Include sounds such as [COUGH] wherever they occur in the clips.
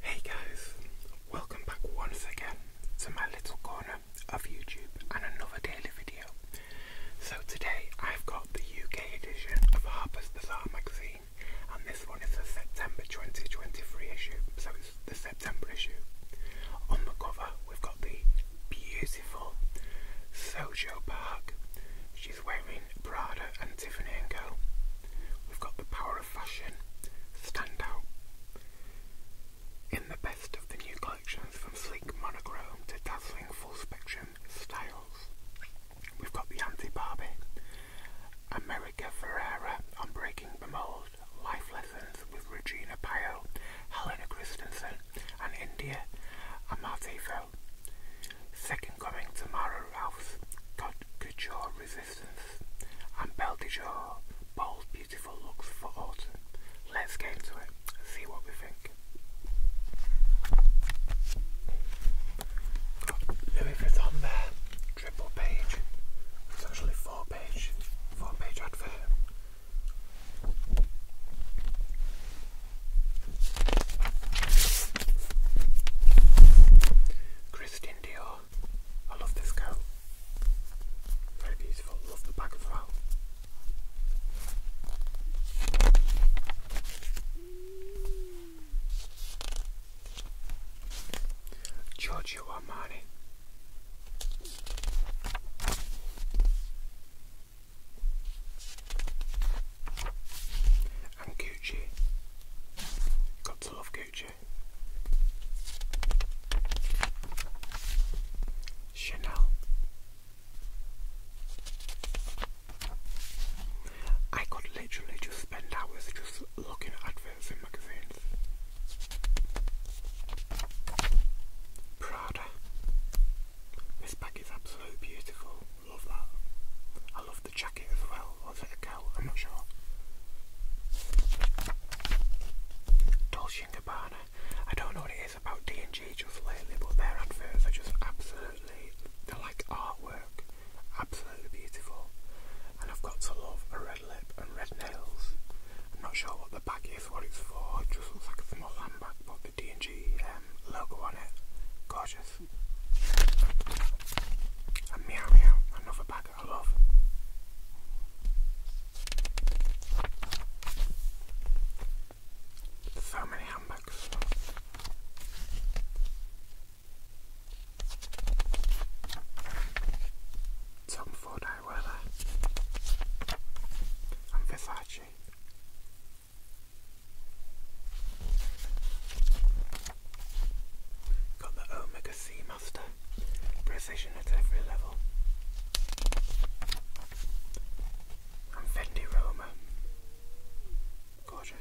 Hey guys, welcome back once again to my little corner of YouTube and another daily video. So today I've got the UK edition of Harper's Bazaar magazine and this one is the September 2023 issue, so it's the September issue. On the cover we've got the beautiful beautiful Sojo Park. She's wearing Prada and Tiffany & Co. We've got the power of fashion. Stand out. In the best of the new collections from sleek monochrome to dazzling full spectrum styles. We've got the anti Barbie. America Ferrera on Breaking the Mold. Life Lessons with Regina Pio, Helena Christensen, and India and Maltefo. Second coming to Mara Ralph's your Resistance and Belle Bold Beautiful Looks for Autumn. Let's get into it and see what we think. Got Louis Vuitton there, triple page. It's actually four page, four page advert. Christian Dior. I love this coat. Very beautiful. Love the back as well. Giorgio Armani and Gucci. Got to love Gucci. Chanel. I could literally just spend hours just looking at adverts in magazines. Prada. This bag is absolutely beautiful. Love that. I love the jacket as well. Was it a I'm not sure. Dolce & Gabbana. I don't know what it is about D&G just lately, but their adverts are just absolutely, they're like artwork. Absolutely beautiful. And I've got to love a red lip and red nails. I'm not sure what the bag is, what it's for. It just looks like a small handbag, but D&G um, logo on it. Gorgeous. another bag I love. So many handbags. Tom Ford eyewear and Versace. Got the Omega Seamaster precision at every level. And Fendi Roma. Gorgeous.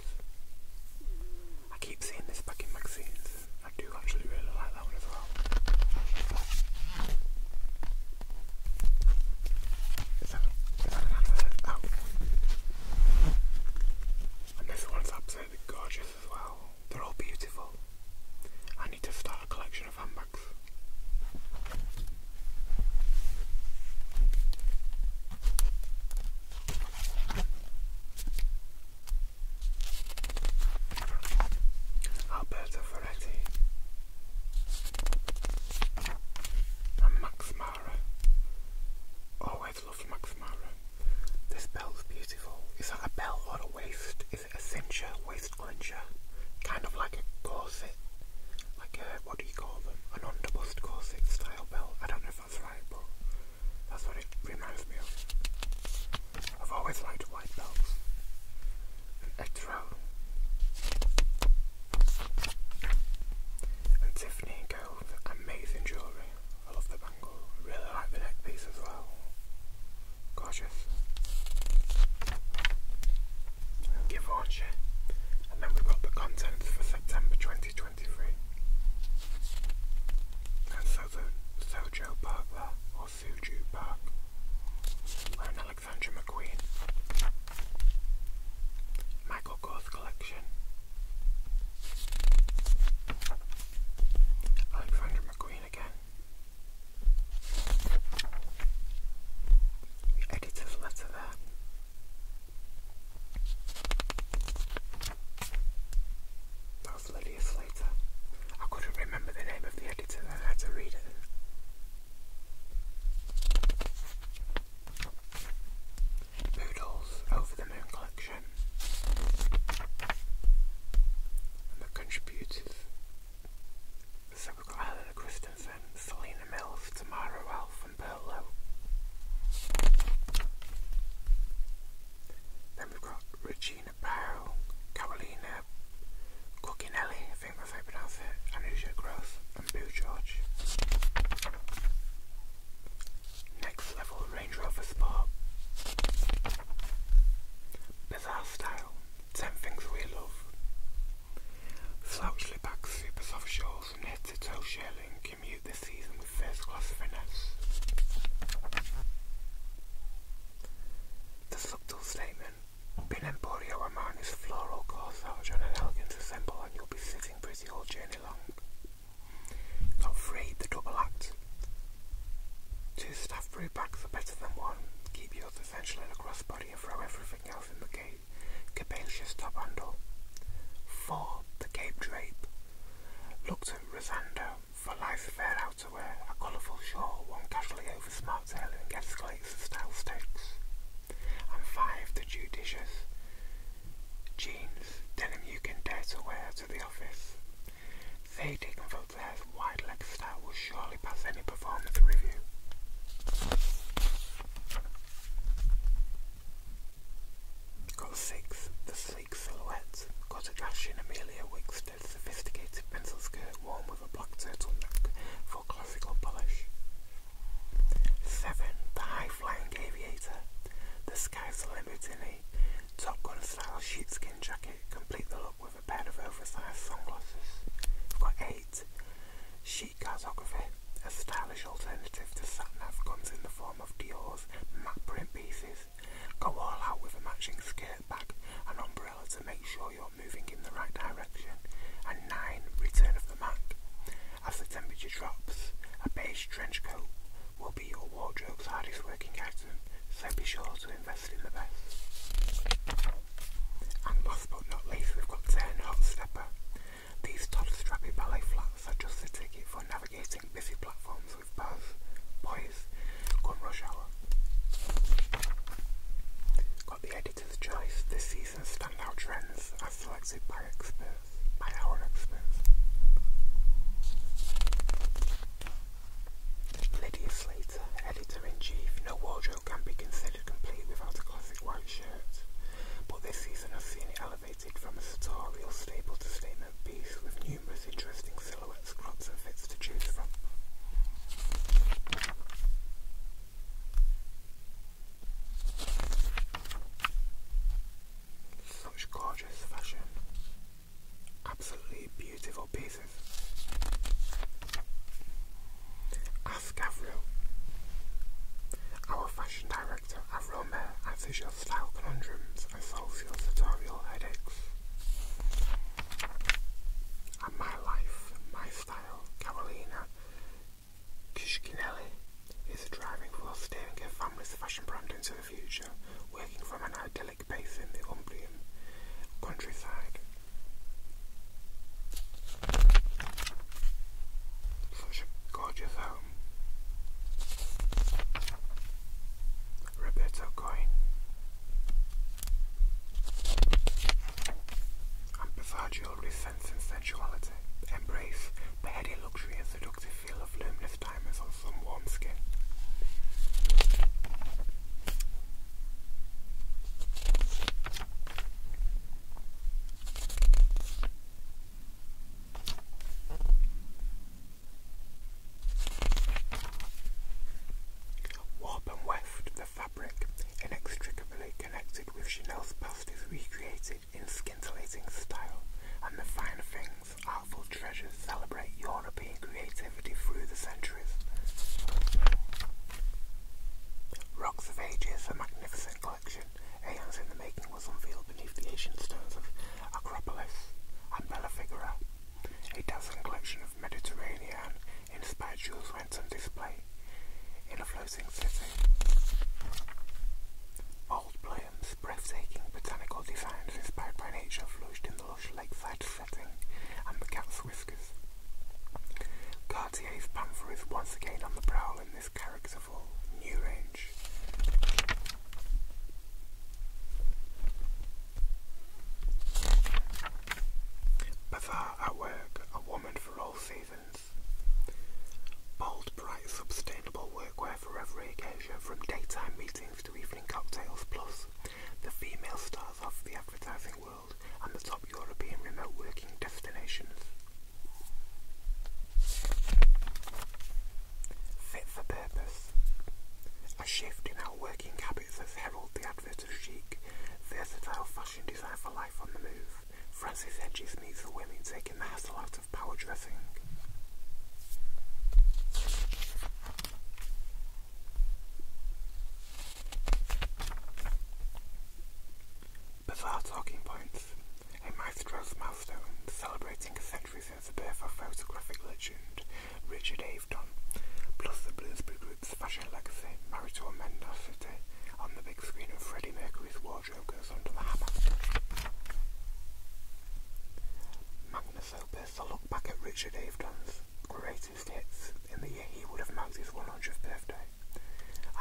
I keep seeing this back in magazines. I do actually really like that one as well. Oh. And this one's absolutely gorgeous as well. They're all beautiful. I need to start a collection of handbags. Alberta Ferretti and Max Mara. Always loved Max Mara. This belt's beautiful. Is that a belt or a waist? Is it a cincher, waist clincher? Kind of like a corset. Like a, what do you call them? An underbust corset style belt. I don't know if that's right, but that's what it reminds me of. I've always liked white belts a drone. And Tiffany and Co. Amazing jewellery. I love the bangle. Really like the neck piece as well. Gorgeous. Givenchy. And then we've got the contents for September 2023. And so the Sojo Park or Suju Park. Where an Sandra McQueen, Michael Goth Collection, Alexander McQueen again, the editor's letter there. That was Lydia Slater. I couldn't remember the name of the editor, I had to read it. Boodles Over the Moon collection. the contributors so we've got Helena Kristensen, Selena Mills, Tamara Ralph and Perlow. Then we've got Regina Carolina Carolina Cuccinelli, I think that's how you pronounce it, and Boo George. Next level Range Rover Sport. Bizarre style, 10 things we love. Slouchly back super soft shawls and head to toe shearling commute this season with first class finesse. The subtle statement Pin Emporio Romano's floral corsage on an elegant ensemble and you'll be sitting pretty all journey long. Got three, the double act. Two staff brew are better than one. Keep yours essentially in a and throw everything else in the cape. Capacious top handle. Four, the cape drape. Looked at Rosando for life fair to wear a colourful shawl one casually over smart tailoring escalates the style stakes. And five, the judicious. Jeans, denim you can dare to wear to the office. They taken from their wide leg style will surely pass any performance review. Got six, the sleek silhouette, got a dash in Amelia Wick's crafted sophisticated pencil skirt worn with a black turtleneck for classical polish. 7. The High-Flying Aviator. The sky's the limit in a Top Gun style sheepskin jacket. Complete the look with a pair of oversized sunglasses. We've got 8. Chic Cartography. A stylish alternative to satin. nav comes in the form of Dior's matte print pieces. Go all out with a matching skirt bag and umbrella to make sure you're moving in the right direction, and 9. Return of the Mac. As the temperature drops, a beige trench coat will be your wardrobe's hardest working item, so be sure to invest in the best. And last but not least, we've got 10 Hot Stepper. These Todd Strappy ballet flats are just the ticket for navigating busy platforms with buzz, Guys, Rush Hour. Got the editor's choice, this season's standout trends as selected by experts, by our experts. Lydia Slater, editor-in-chief, no wardrobe can be considered complete without a classic white shirt, but this season has seen it elevated from a sartorial staple to statement piece with numerous interesting such gorgeous fashion. Absolutely beautiful pieces. Ask Avril, our fashion director Avril Mayer answers your style conundrums and solves your editorial headaches and My Life, My Style, Carolina Cuccinelli is a driving force steering her family's fashion brand into the future, working from an idyllic base in the Umbrian countryside. Such a gorgeous home. Roberto Coin and bizarre jewelry and sensuality, embrace the heady luxury and seductive feel of luminous diamonds on some warm skin. Warp and weft, the fabric, inextricably connected with Chanel's past, is recreated in scintillating style, and the finer things, artful treasures, celebrate European creativity through the centuries. Rocks of Ages, a magnificent collection, aeons in the making, was unveiled beneath the ancient stones of Acropolis and Bella a dozen collection of Mediterranean-inspired jewels went on display in a flowing city. Old Bloom's breathtaking botanical designs inspired by nature flourished in the lush lakeside setting and the cat's whiskers. Cartier's Panther is once again on the prowl in this characterful new range. Bazaar at work, a woman for all seasons. Bold, bright, sustainable workwear for every occasion, from daytime meetings to evening cocktails, plus the female stars of the advertising world and the top European remote working destinations. Fit for purpose. A shift in our working habits has heralded the advent of chic, versatile fashion design for life on the move. Francis Hedges meets the women taking the hassle out of power dressing. Bizarre talking points. A milestone celebrating a century's the birth of photographic legend Richard Avedon, plus the Bloomsbury Group's fashion legacy, married to mendacity on the big screen and Freddie Mercury's wardrobe goes under the hammer. Magnus Opus, a look back at Richard Avedon's greatest hits in the year he would have marked his 100th birthday,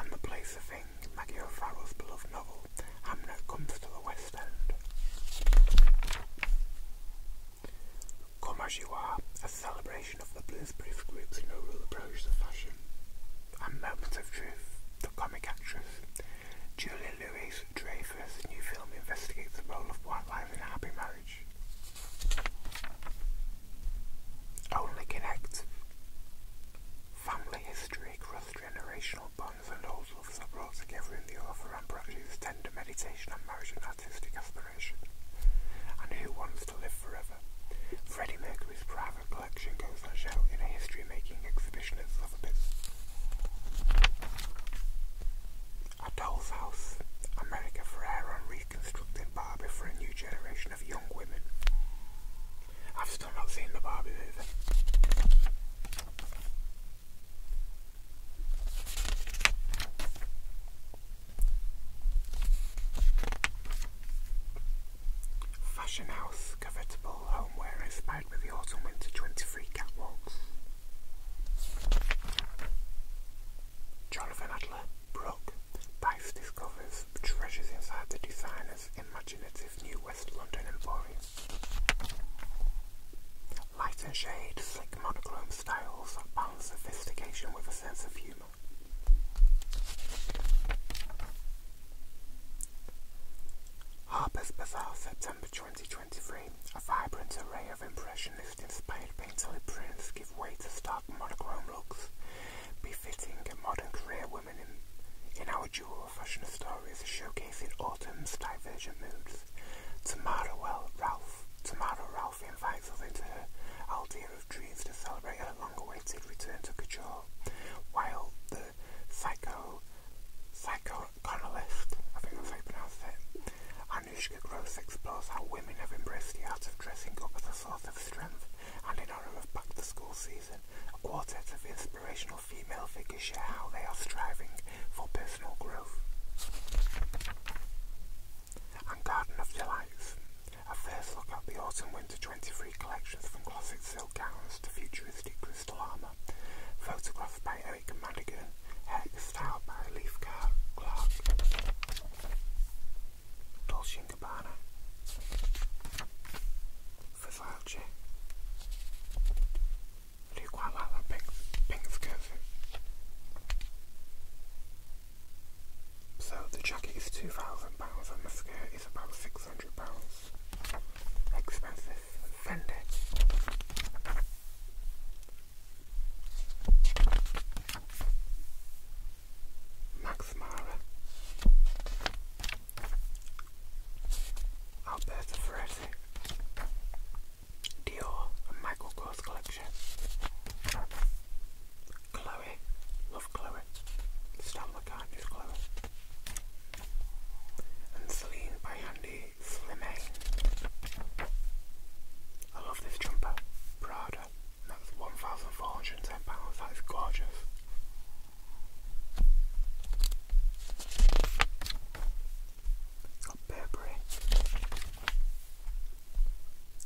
and the place of thing, Maggie O'Farrell's beloved novel, Hamnet Comes to the West End. Come As You Are, a celebration of the blues-proof group's no-rule approach to fashion, and Moments of Truth, the comic actress. Julia Louis-Dreyfus' new film investigates the role of white lies in a happy marriage. Only Connect. Family history, cross-generational bonds and old loves are brought together in the author and practices tender meditation on marriage artistic aspiration. And Who Wants to Live Forever? Freddie Mercury's private collection goes on show in a history-making exhibition at Sotheby's. A Doll's House, America Ferrera reconstructing Barbie for a new generation of young women. I've still not seen the Barbie movie. Fashion House Covetable Homeware inspired with the Autumn Winter 23 catwalks. Jonathan Adler, Brooke, Bice discovers treasures inside the designer's imaginative new West London emporium. Lighter and shade, slick monochrome styles balance sophistication with a sense of humour. Harper's Bazaar, September 2023. A vibrant array of impressionist-inspired painterly prints give way to stark monochrome looks, befitting a modern career woman in, in our jewel of fashion stories, showcasing autumn's divergent moods. Tomorrow, well, Ralph. Tomorrow, Ralph invites us into her Aldea of Dreams to celebrate her long-awaited return to Cajor, while the psycho, psychoanalyst, I think that's how you pronounce it, Anushka Gross explores how women have embraced the art of dressing up as a source of strength, and in honour of back-to-school season, a quartet of inspirational female figures share how they are striving for personal growth. And Garden of Delights. A first look at the Autumn Winter 23 collections from classic silk gowns to futuristic crystal armour. Photographed by Eric Madigan. Hex styled by Leaf Clark. Dolce & Gabbana. Versace. 旅馆晚了，bank bank curfew. So the jacket is two thousand pounds and the skirt is about six hundred pounds. Expensive. Fendi. Max Mara. Alberta Ferretti. Dior Michael Kors collection. Chloe, love Chloe. Stan McCartney Chloe. And Celine by Andy Slimane. I love this jumper, Prada. That's £1,410. That is gorgeous. Burberry,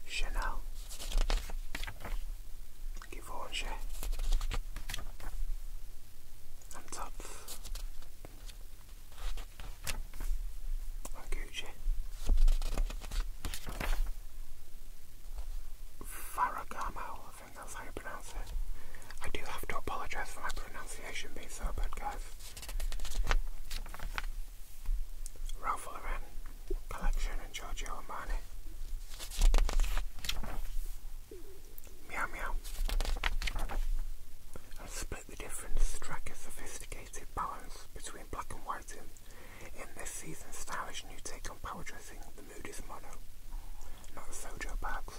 Chanel, Givenchy, and Gucci, Farragamo, I think that's how you pronounce it. I do have to apologise for my pronunciation being so bad, guys. Ralph Lauren Collection and Giorgio Armani. Meow Meow. I split the difference Strike a sophisticated balance between black and white in, this season's stylish new take on power dressing. The mood is mono, not sojo bags.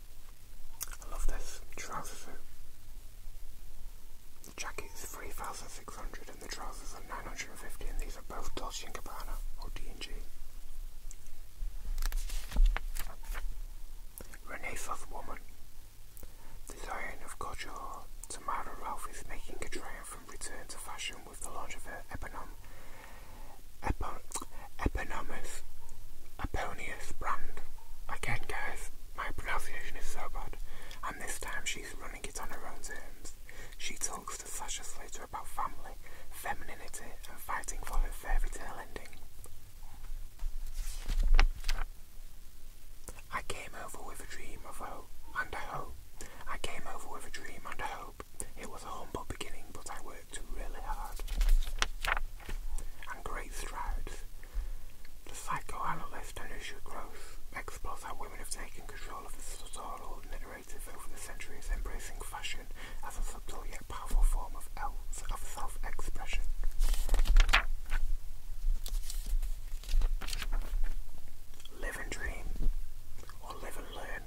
I love this trousers. suit. The jacket is 3,600 and the trousers are 950 and these are both Dolce & Gabbana or D&G. Renaissance Woman The Design of Couture, Tamara Ralph is making a triumphant return to fashion with the launch of her Eponym eponymous, eponymous brand. Again, guys, my pronunciation is so bad, and this time she's running it on her own terms. She talks to Sasha Slater about family, femininity, and fighting for her fairy tale ending. I came over with a dream of hope and a hope. I came over with a dream and hope it was a humble beginning, but I worked really hard and great strides. The psychoanalyst Anusha Gross explores how women have taken control of the societal narrative over the centuries, embracing fashion as a subtle yet powerful form of self-expression. Live and dream, or live and learn.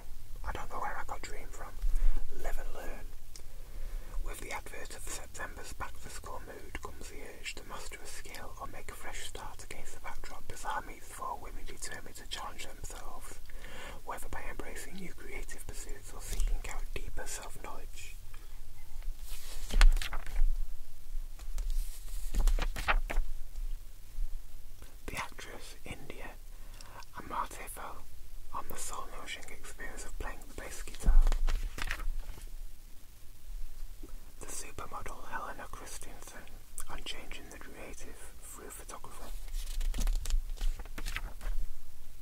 I don't know where I got Dream from. Live and learn. With the advert of September's back to school mood comes the urge to master a skill or make a fresh start against the backdrop Bizarre meets four women determined to challenge themselves, whether by embracing new creative pursuits or seeking out deeper self knowledge. The actress India and Marte fell on the soul nourishing experience of playing the bass guitar. The supermodel Helena Christensen on changing the creative through photography.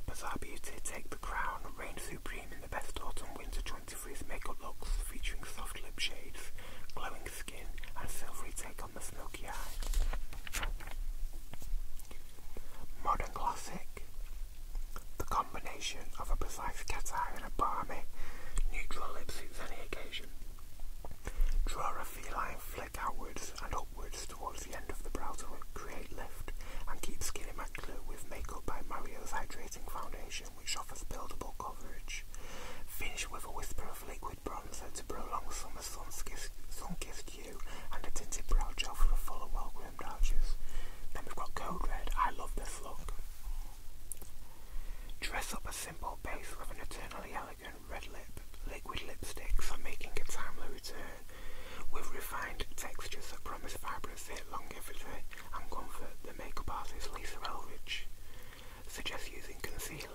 Bizarre Beauty Take the Crown reign supreme in the best autumn winter 23's makeup looks featuring soft lip shades, glowing skin and silvery take the Smoky Eye. Modern Classic. The combination of a precise cat eye and a balmy, neutral lip suits any occasion. Draw a feline flick outwards and upwards towards the end of the brow to create lift and keep skin immaculate with makeup by Mario's Hydrating Foundation which offers buildable coverage. Finish with a whisper of liquid bronzer to prolong summer sun-kissed hue and a tinted brow gel for a fuller, well-groomed arches. Then we've got Code Red. I love this look. Dress up a simple base with an eternally elegant red lip, liquid lipsticks are making a timely return with refined textures that promise long longevity and comfort. The makeup artist Lisa Elrich suggests using concealer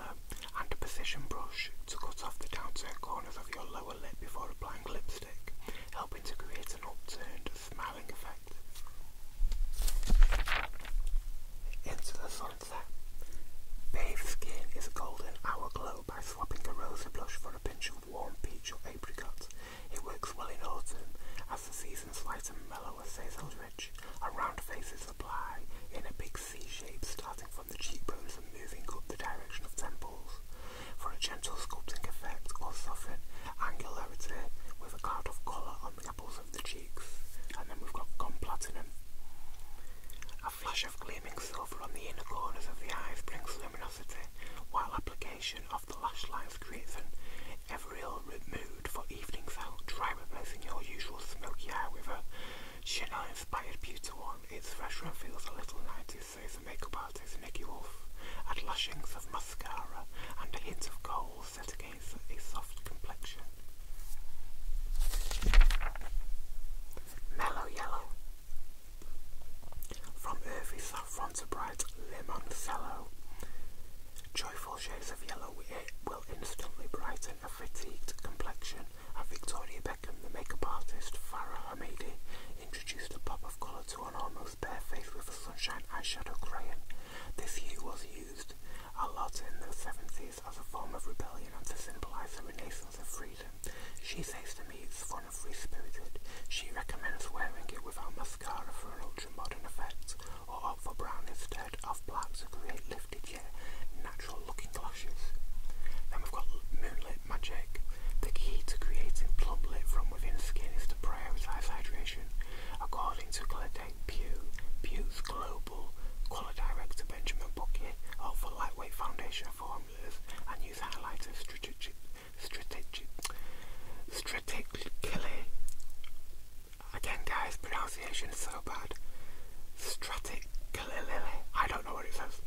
and a precision brush to cut off the downturned corners of your lower lip before applying lipstick, helping to create an upturned, smiling effect. Into the sunset. Bathed skin is golden hour glow by swapping a rosy blush for a pinch of warm peach or apricot. It works well in autumn as the season's light and mellower says Eldridge. A round face is applied in a big C shape starting from from the cheekbones and moving up the direction of temples, for a gentle sculpting effect or soften angularity with a cloud of colour on the apples of the cheeks. And then we've got gone platinum. A flush of gleaming silver on the inner corners of the eyes brings luminosity, while application of the lash lines creates an ethereal mood for evenings out, try replacing your usual smoky eye with a she and I inspired Beauty One, its fresh and feel the little 90s says the makeup artist Nicky Wolf, at lashings of mascara and a hint of gold set against a soft complexion. Mellow Yellow From earthy saffron to bright limoncello, joyful shades of yellow will instantly brighten a fatigued complexion and Victoria the makeup artist Farah Hamidi, introduced a pop of colour to an almost bare face with a sunshine eyeshadow crayon. This hue was used a lot in the 70s as a form of rebellion and to symbolise the renaissance of freedom. She says to me it's fun and free-spirited. She recommends wearing it without mascara for an ultra-modern effect, or opt for brown instead of black to create lifted yeah, natural looking glasses. Then we've got Moonlit Magic. The key to creating plump lip from within skin is to prioritise hydration, according to Claudette Pugh, Pugh's global colour director Benjamin Bucket, out for lightweight foundation formulas and use highlighters strategic, strategic, strategically. Again, guys, pronounce pronunciation is so bad. Straticalili, I don't know what it says,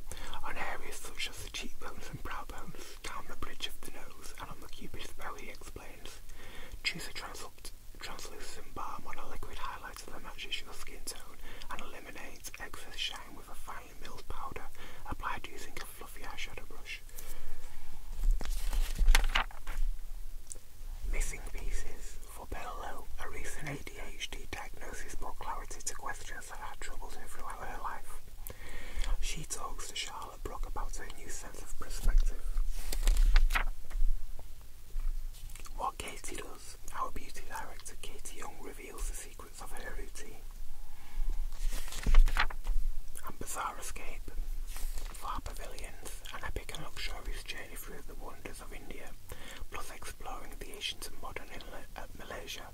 on areas such as the cheekbones and brow bones, down the bridge of the nose, and on the cupid's bow, he explains. Choose a translucent translucent balm on a liquid highlighter that matches your skin tone and eliminates excess shine with a finely milled powder applied using a fluffy eyeshadow brush. Missing pieces. For Perlow, a recent ADHD diagnosis brought clarity to questions that had troubled her throughout her life. She talks to Charlotte Brock about her new sense of perspective. What Katie does, our beauty director Katie Young reveals the secrets of her routine. And Bizarre Escape, Far Pavilions, an epic and luxurious journey through the wonders of India, plus exploring the ancient and modern inlet uh, Malaysia,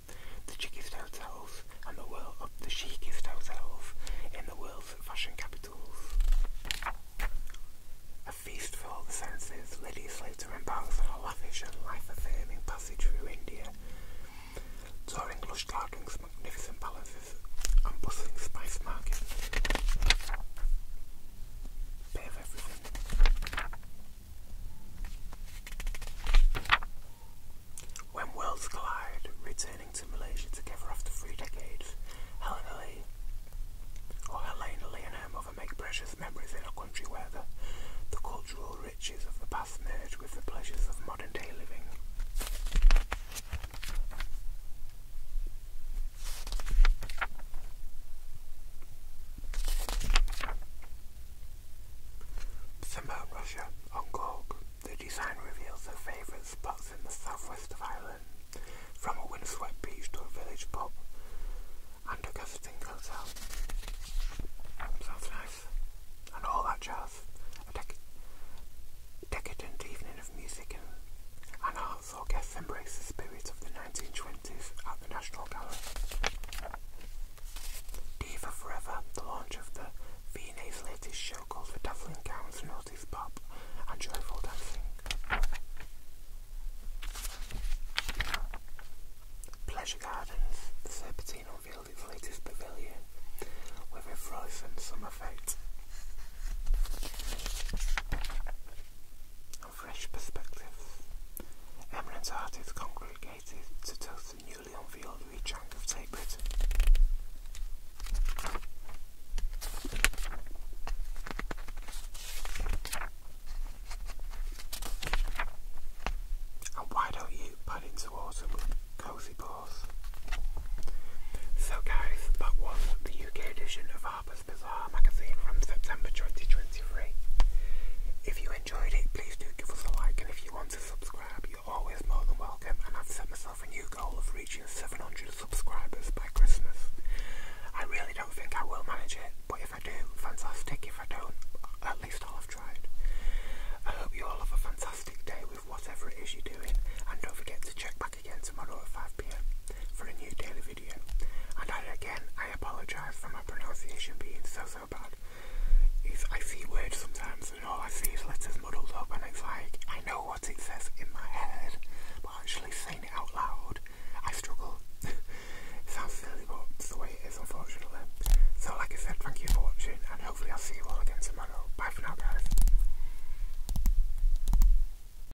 the chicest hotels, and the world of the chicest hotels in the world's fashion capitals. A feast for all the senses, Lydia Slater embarks on a lavish and life-affirming passage through India, touring lush gardens, magnificent palaces, and bustling spice markets. Bit everything. When worlds collide, returning to Malaysia together after three decades, Helen Lee, or Helena and her mother make precious memories in a country where the, the cultural riches of the past merge with the pleasures of modern day living. Somewhat Russia, on Gorg, the design reveals their favourite spots in the southwest of Ireland, from a windswept beach to a village pub and a guesting hotel. Sounds nice. And all that jazz. A decadent evening of music and art also guests embraced the spirit of the 1920s at the National Gallery. Diva Forever, the launch of the V&A's latest show called for Dazzling Gowns, Naughty's Pop and Joyful Dancing. Pleasure Gardens, the Serpentine unveiled its latest pavilion with a frozen summer fete and fresh perspective. Eminent artists congregated to toast the newly unveiled rechunk of tape. Britain. And why don't you pad into autumn cosy paws? So guys, that was the UK edition of Harper's Bazaar magazine from September 2023. If you enjoyed it, please do give us a like, and if you want to subscribe, you're always more than welcome. And I've set myself a new goal of reaching 700 subscribers by Christmas. I really don't think I will manage it, but if I do, fantastic. If I don't, at least I'll have tried. I hope you all have a fantastic day with whatever it is you're doing, and don't forget to check back again tomorrow at 5pm for a new daily video. And again, I apologise for my pronunciation being so so bad. It's, I see words sometimes and all I see is letters muddled up and it's like, I know what it says in my head, but actually saying it out loud, I struggle. [LAUGHS] Sounds silly, but it's the way it is unfortunately. So like I said, thank you for watching and hopefully I'll see you all again tomorrow. Bye for now guys.